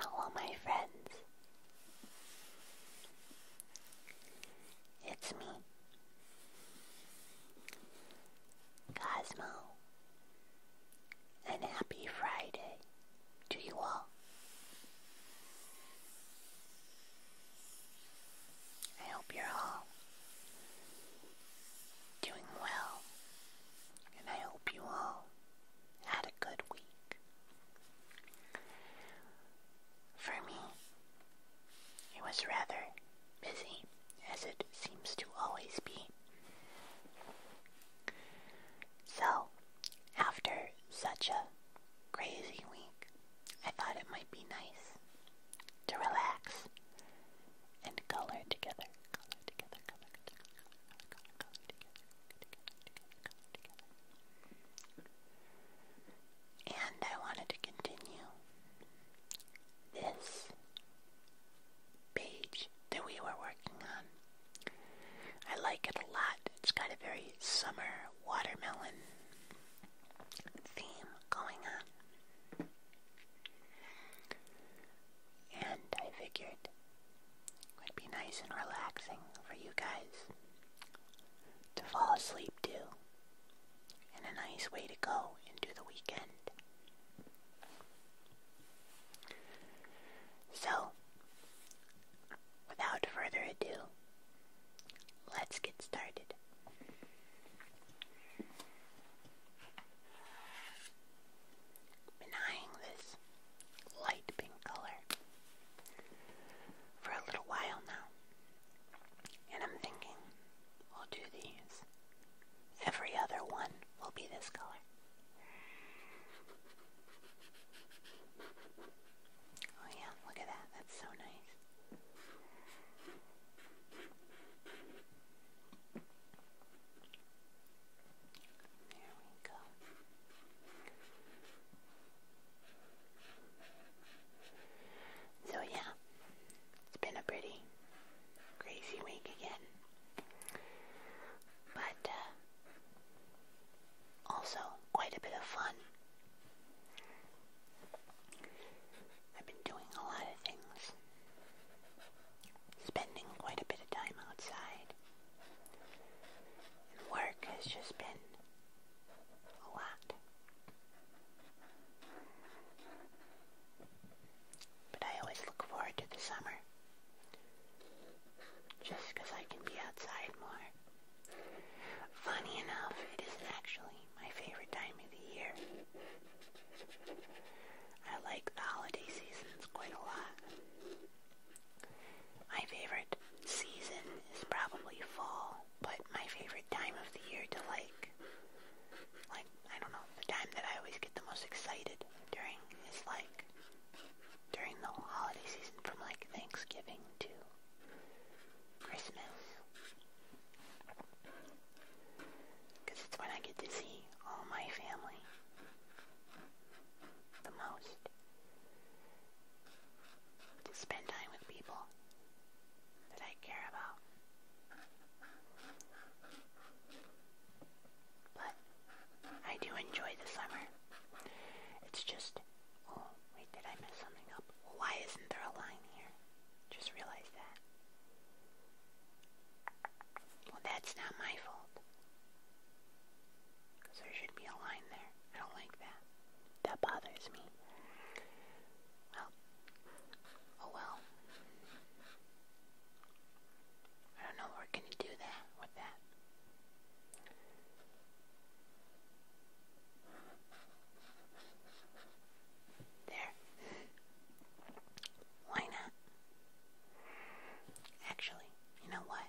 Hello, my friends. It's me, Cosmo and happy Friday to you all. I hope you're all doing well, and I hope you all had a good week. For me, it was rather busy, as it seems to always be. So, after such a crazy week, I thought it might be nice to relax and color together. And I wanted to continue this page that we were working on. I like it a lot. It's got a very summer watermelon theme going on. And I figured it would be nice and relaxing for you guys to fall asleep to and a nice way to go into the weekend. So, without further ado, let's get started. Been eyeing this light pink color for a little while now, and I'm thinking we'll do these Every other one will be this color. Oh yeah, look at that. That's so nice. There we go. So yeah, it's been a pretty crazy week again but uh, also quite a bit of fun. I've been doing a lot of things, spending quite a bit of time outside, and work has just been a lot. But I always look forward to the summer. Just because I can be outside more. Funny enough, it isn't actually my favorite time of the year. I like the holiday seasons quite a lot. My favorite season is probably fall, but my favorite time of the year to like, like I don't know, the time that I always get the most excited during is like during the holiday season from like Thanksgiving to Christmas. Because it's when I get to see all my family the most. To spend time with people that I care about. But I do enjoy the summer. It's just, oh, wait, did I mess something up? Why isn't there a line here? Just realized that. Well, that's not my fault. there should be a line there. I don't like that. That bothers me. Well, oh well. I don't know what we're gonna do that with that. There. Why not? Actually, you know what?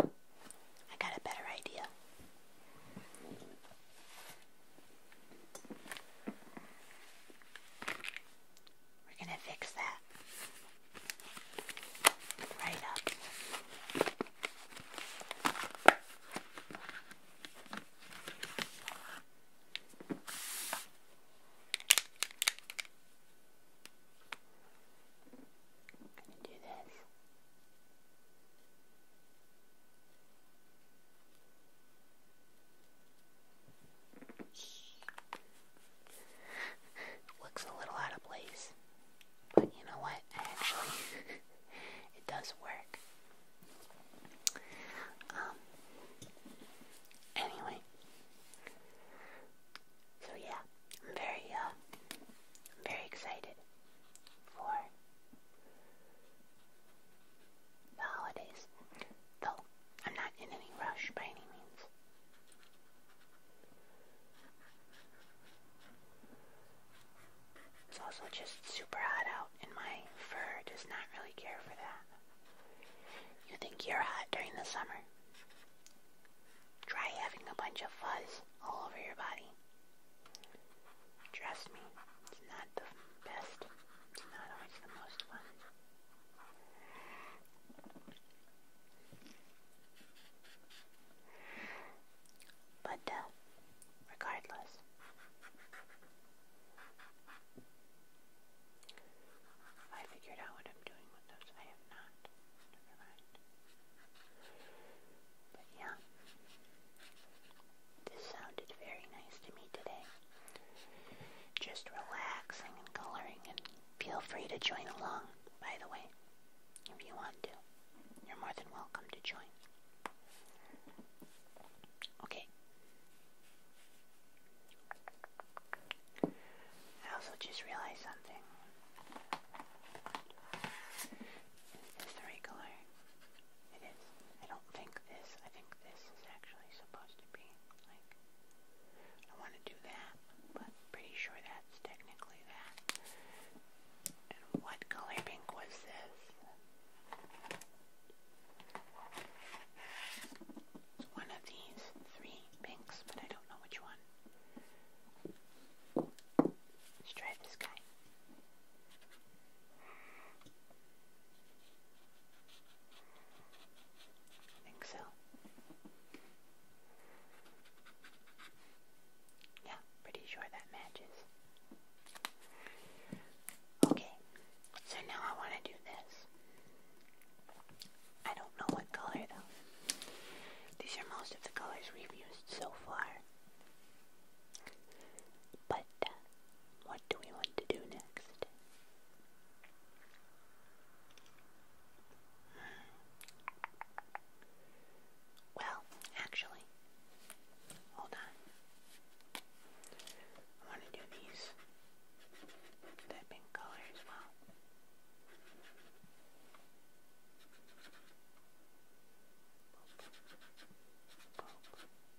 I got a better idea. We're going to fix that right up. going to do this. Looks a little out of place, but you know what? Actually, it does work. Um. Anyway, so yeah, I'm very uh, very excited for the holidays. I'm not in any rush by any means. It's also just super hot out, and my fur does not really care for that. You think you're hot during the summer? Try having a bunch of fuzz all over your body. Trust me, it's not the best. It's not always the most fun. But, uh, regardless, I figured out what I'm doing with those. I have not. But yeah, this sounded very nice to me today. Just relaxing and coloring, and feel free to join along, by the way, if you want to. You're more than welcome to join. Okay. I also just realized something. Is the right It is. I don't think this. I think this is actually supposed to be like, I want to do that, but pretty sure that's technically that. And what color pink was this? It's one of these three pinks, but I don't know which one. Let's try this guy. I think so. Yeah, pretty sure that matches. Okay, so now I want to do this. I don't know what color though. These are most of the colors we've used so far. But uh, what do we want to do next? Well, actually, hold on. I want to do these, that pink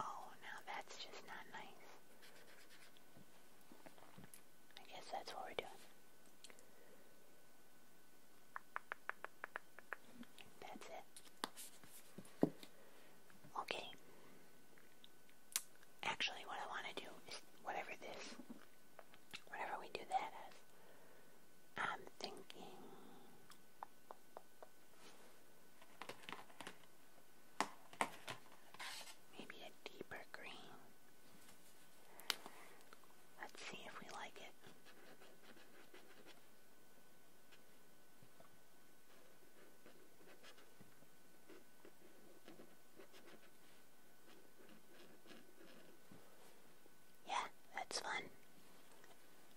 Oh, now that's just not nice. I guess that's what we're doing. That's it. Okay. Actually, what I want to do is whatever this, whatever we do that I'm thinking. Maybe a deeper green. Let's see if we like it. Yeah, that's fun.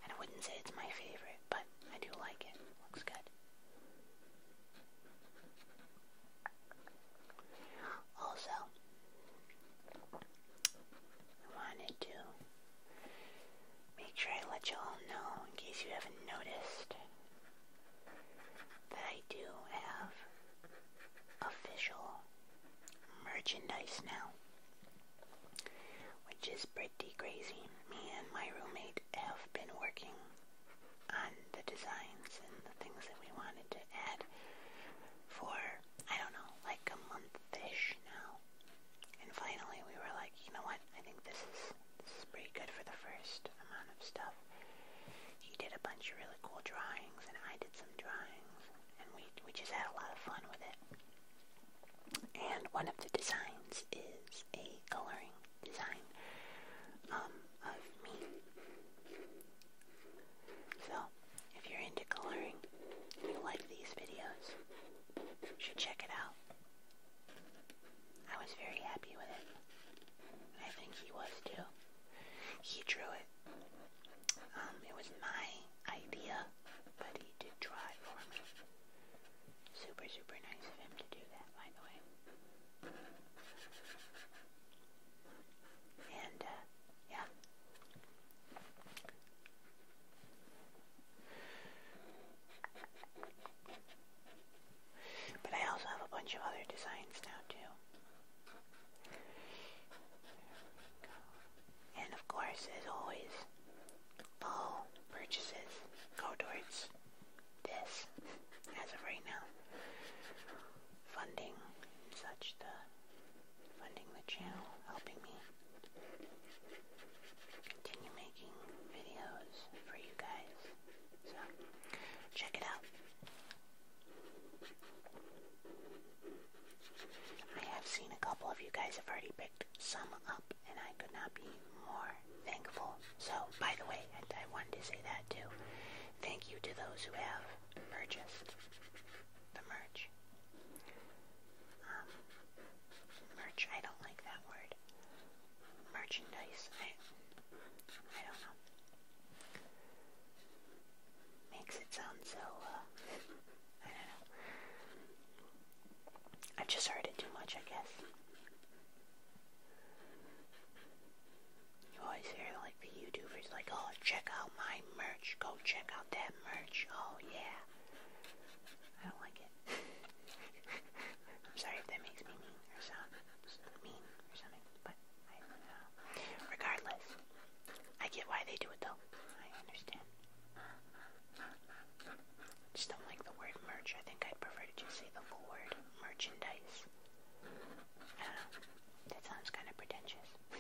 And I wouldn't say it's my favorite, but I do like it. Looks good. Also, I wanted to make sure I let you all know, in case you haven't noticed, that I do have official merchandise now, which is pretty crazy. Me and my roommate have been working on the designs and the things that we wanted to add for, I don't know, like a month-ish now. And finally we were like, you know what, I think this is, this is pretty good for the first amount of stuff. He did a bunch of really cool drawings and I did some drawings and we, we just had a lot of fun with it. And one of the designs is a coloring design um, of me. So, if you're into coloring, you like these videos, should check it out. I was very happy with it. I think he was too. He drew it. Um, it was my idea, but he did draw it for me. Super, super nice of him to do that, by the way. And, uh, yeah. But I also have a bunch of other designs now, too. And of course, as always, all purchases go towards this as of right now. Funding such the funding the channel, helping me continue making videos for you guys. So check it out. I have seen a couple of you guys have already picked some up and I could not be more thankful. So, by the way, I, wanted to say that too. Thank you to those who have purchased the merch. Um, merch, I don't like that word. Merchandise, I, I don't know. Makes it sound so, uh, I don't know. I've just heard it too much, I guess. Oh, you always hear like the YouTubers like, oh, check out my merch. Go check out that merch. Oh yeah. I don't like it. I'm sorry if that makes me mean or sound mean or something, but I don't know. Regardless, I get why they do it though. I understand. Just don't like the word merch. I think I'd prefer to just say the full word merchandise. I don't know. That sounds kind of pretentious.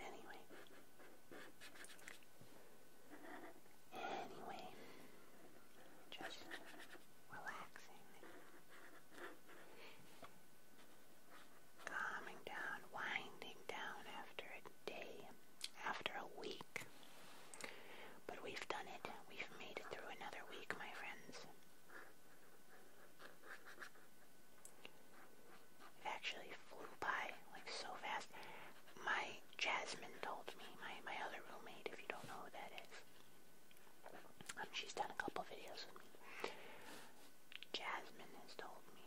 anyway. Anyway. Just relaxing. Calming down, winding down after a day, after a week, but we've done it. We've made it through another week, my friends. It actually flew by, like, so fast. My Jasmine told me, my, my other roommate, if you don't know who that is. Um, she's done a couple videos with me. Jasmine has told me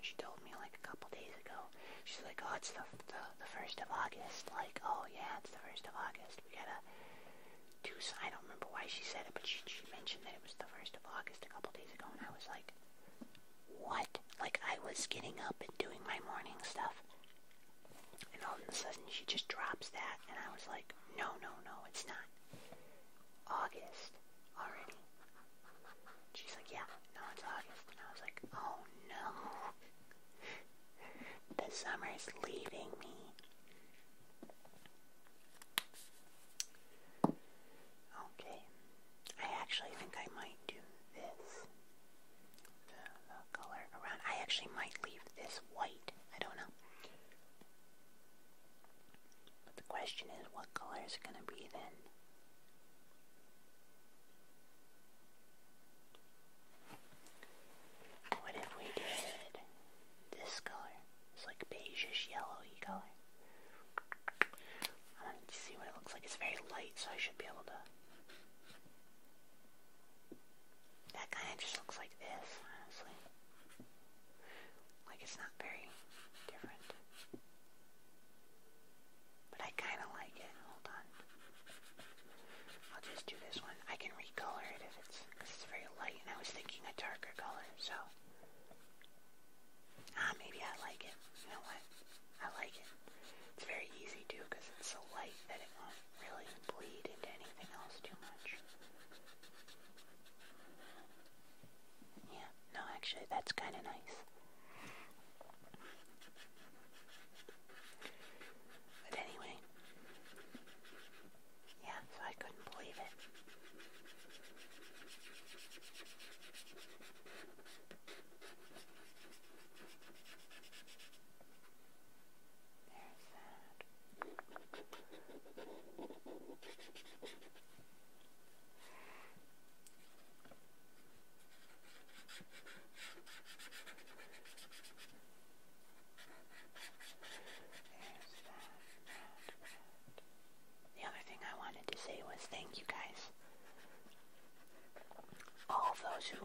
she told me like a couple days ago. She's like, oh, it's the, the the first of August. Like, oh yeah, it's the first of August. We gotta do. I don't remember why she said it, but she she mentioned that it was the first of August a couple days ago, and I was like, what? Like, I was getting up and doing my morning stuff, and all of a sudden she just drops that, and I was like, no, no, no, it's not August already? She's like, yeah, no, it's August. And I was like, oh no. the summer's leaving me. Okay. I actually think I might do this. the color around. I actually might leave this white. I don't know. But the question is, what color is it going to be then? What if we did this color? It's like beigeish yellowy color. I want to see what it looks like. It's very light, so I should be able to. That kind of just looks like this, honestly. Like it's not very different. But I kind of like it. Hold on. I'll just do this one. I can recolor it if it's, very light and I was thinking a darker color, so. Ah, maybe I like it. You know what? I like it. It's very easy too because it's so light that it won't really bleed into anything else too much. Yeah, no, actually, that's kind of nice. But anyway, yeah, so I couldn't believe it. There's that. The other thing I wanted to say was thank you guys. All of those who,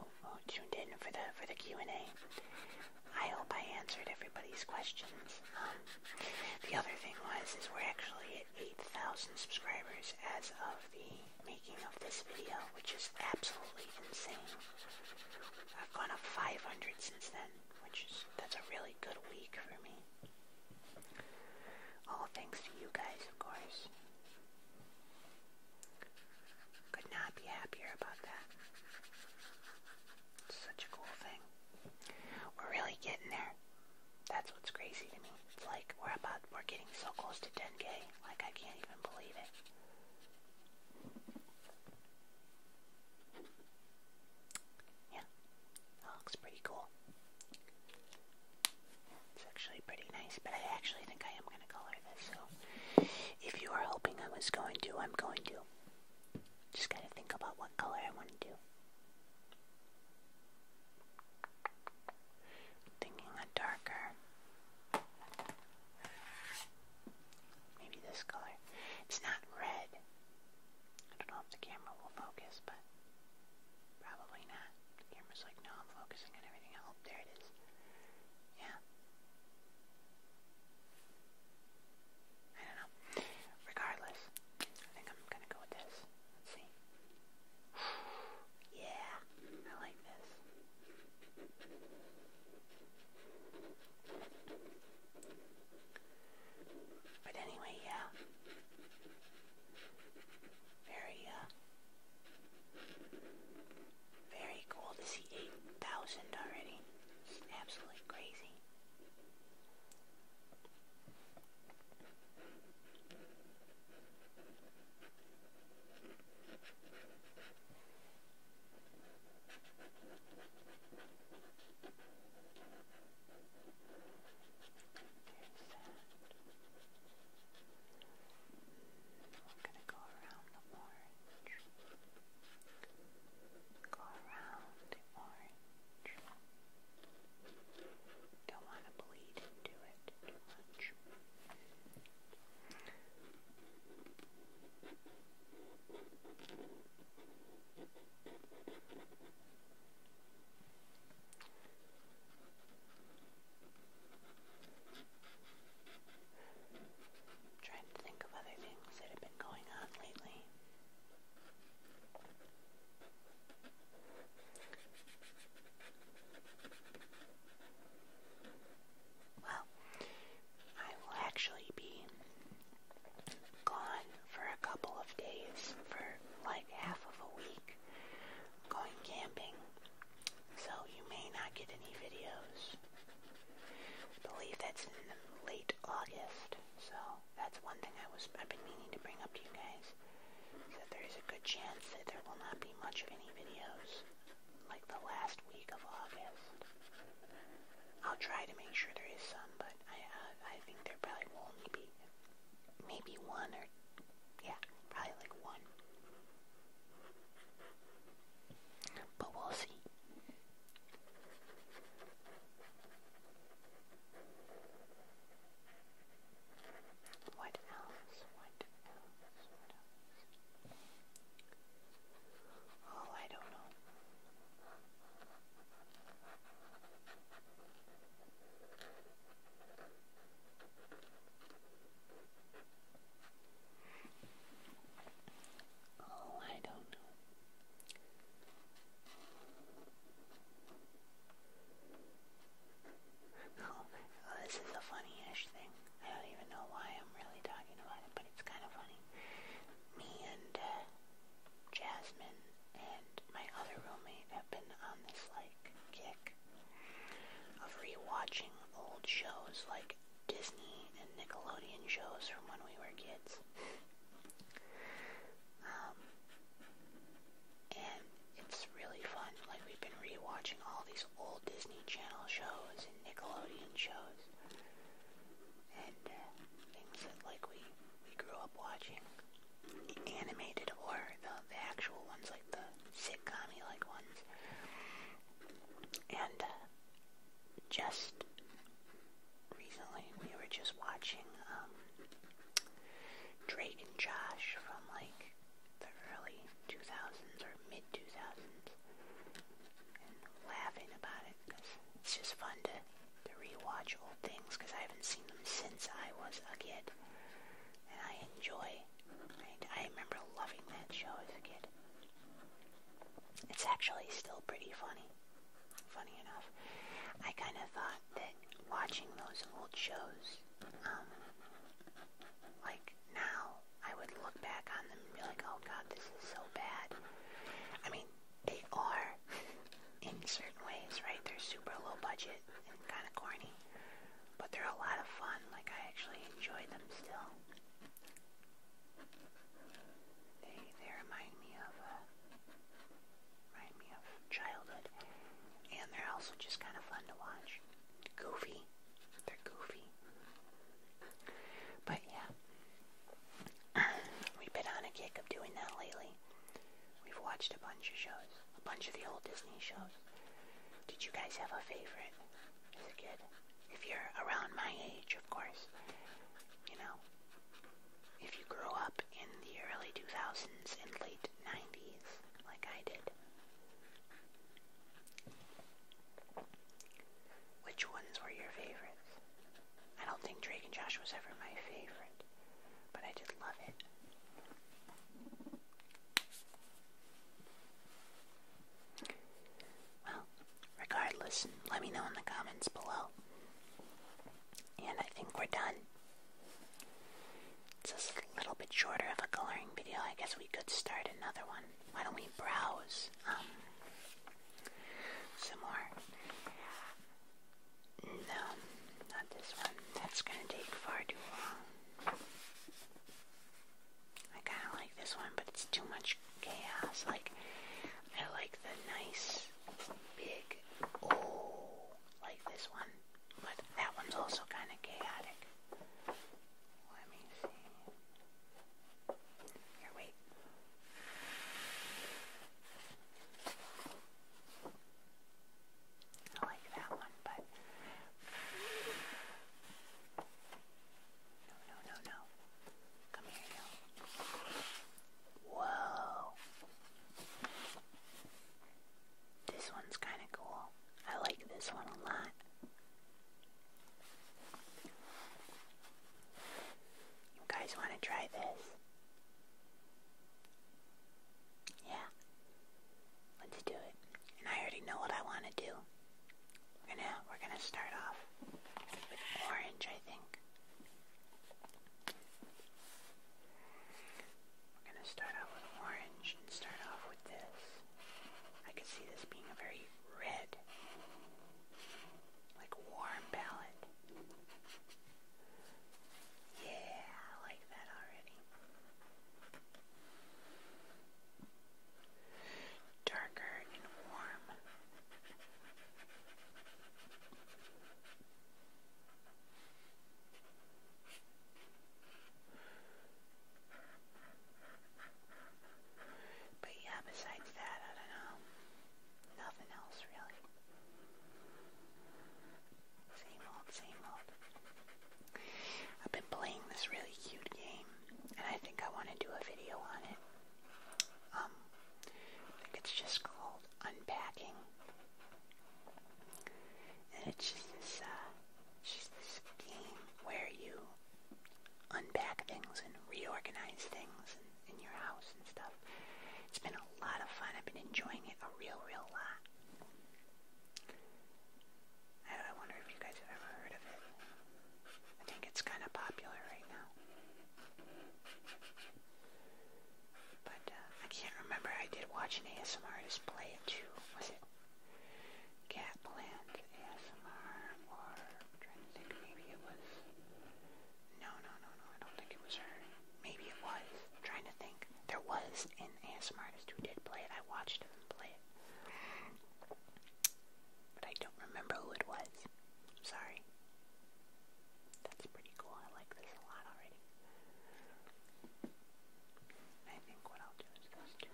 tuned in for the for the Q and A. I hope I answered everybody's questions. Um, the other thing was is we're actually at 8,000 subscribers as of the making of this video, which is absolutely insane. I've gone up 500 since then, which is, that's a really good week for me. All thanks to you guys, of course. Could not be happier about that. such a cool thing. We're really getting there. That's what's crazy to me. It's like we're about we're getting so close to 10k. Like I can't even believe it. Yeah, that looks pretty cool. It's actually pretty nice, but I actually think I am going to color this. So if you are hoping I was going to, I'm going to. Just gotta think about what color I want to do. I'm thinking a darker. Maybe this color. It's not red. I don't know if the camera will focus, but probably not. camera's like, no, I'm focusing on everything else. There it is. Yeah. I don't know. Regardless, I think I'm gonna go with this. Let's see. yeah, I like this. But anyway, yeah. Very, uh, very cool to see 8,000 already. It's absolutely crazy. We're going to go around the orange. Go around the orange. Don't want to bleed into it trying to think of other things that have been going on lately. Well, I will actually be gone for a couple of days, for like half of a week, going camping, so you may not get any videos. believe that's in late August, so that's one thing I was, I've been meaning to bring up to you guys, is that there is a good chance that there will not be much of any videos, like the last week of August. I'll try to make sure there is some, but I, uh, I think there probably will only be maybe one or, yeah, probably like one. But we'll see. What else? What else? What else? Oh, I don't know. Oh, I don't know. Oh, this is a funny-ish thing. I don't even know why I'm really talking about it, but it's kind of funny. Me and uh, Jasmine and my other roommate have been on this like kick of rewatching old shows like Disney and Nickelodeon shows from when we were kids. Um, and it's really fun. Like we've been rewatching all these old Disney Channel shows and Nickelodeon shows, and uh, things that like we we grew up watching, animated or the the actual ones, like the sitcomy like ones, and uh, just recently. We were just watching um, Drake and Josh from like the early 2000s or mid 2000s and laughing about it because it's just fun to, to rewatch old things because I haven't seen them since I was a kid and I enjoy, right? I remember loving that show as a kid. It's actually still pretty funny funny enough, I kind of thought that watching those old shows, um, like now, I would look back on them and be like, oh god, this is so bad. I mean, they are in certain ways, right? They're super low budget and kind of corny, but they're a lot of fun. Like, I actually enjoy them still. They, they remind me of uh, Remind me of childhood. And they're also just kind of fun to watch. Goofy. They're goofy. But yeah. We've been on a kick of doing that lately. We've watched a bunch of shows. A bunch of the old Disney shows. Did you guys have a favorite as a kid? If you're around my age, of course. You know, if you grew up in the early 2000s and late 90s, like I did. Which ones were your favorites? I don't think Drake and Josh was ever my favorite, but I did love it. Well, regardless, let me know in the comments below. And I think we're done. It's just a little bit shorter of a coloring video. I guess we could start another one. Why don't we browse um, some more? No, not this one. That's going to take far too long. I kind of like this one, but it's too much chaos. Like, I like the nice big O oh, like this one, but that one's also kind of chaotic. Let me see. Here, wait. I like that one, but no, no, no, no. Come here, no. Whoa. This one's kind of cool. I like this one a lot. You guys want to try this? Yeah. Let's do it. And I already know what I want to do. We're gonna we're gonna start off with orange, I think. We're gonna start out with orange and start off with this. I can see this being a very red, like warm palette. Yeah, I like that already. Darker and warm. But yeah, besides that, I don't know. Nothing else really. Same old, same old. I've been playing this really cute game, and I think I want to do a video on it. Um, I think it's just called Unpacking. And it's just this, uh, just this game where you unpack things and reorganize things in, your house and stuff. It's been a lot of fun. I've been enjoying it a real, real lot. I wonder if you guys have ever heard of it. I think it's kind of popular right now. But uh, I can't remember. I did watch an ASMR artist play it too. Was it Catland ASMR? Or I'm trying to think. Maybe it was. No, no, no, no. I don't think it was her. Maybe it was. trying to think. There was an ASMR artist who did play it. I watched him play it. But I don't remember who it was. I'm sorry. That's pretty cool. I like this a lot already. I think what I'll do is those two.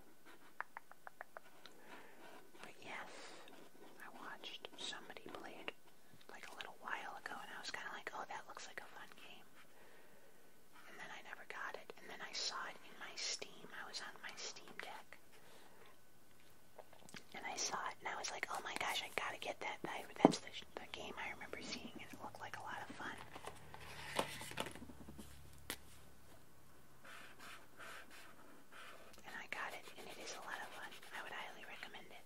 But yes, I watched somebody played like a little while ago and I was kind of like, oh, that looks like a fun game. And then I never got it. And then I saw it in my Steam. I was on my Steam Deck. And I saw it, and I was like, oh my gosh, I gotta get that. I, that's the, the game I remember seeing, and it looked like a lot of fun. And I got it, and it is a lot of fun. I would highly recommend it.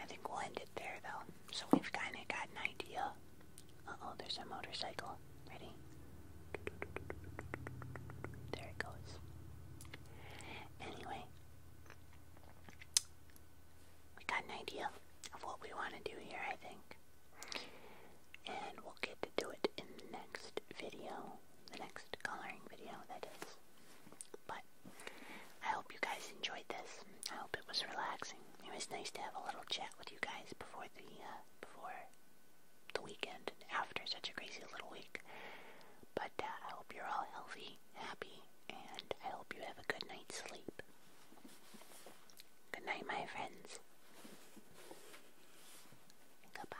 I think we'll end it there though, so we've kind of got an idea. Uh oh, there's a motorcycle. Ready? There it goes. Anyway, we got an idea of what we want to do here, I think. And we'll get to do it in the next video, the next coloring video, that is. But I hope you guys enjoyed this. I hope it was relaxing it was nice to have a little chat with you guys before the uh, before the weekend after such a crazy little week. But uh, I hope you're all healthy, happy, and I hope you have a good night's sleep. Good night, my friends. Goodbye.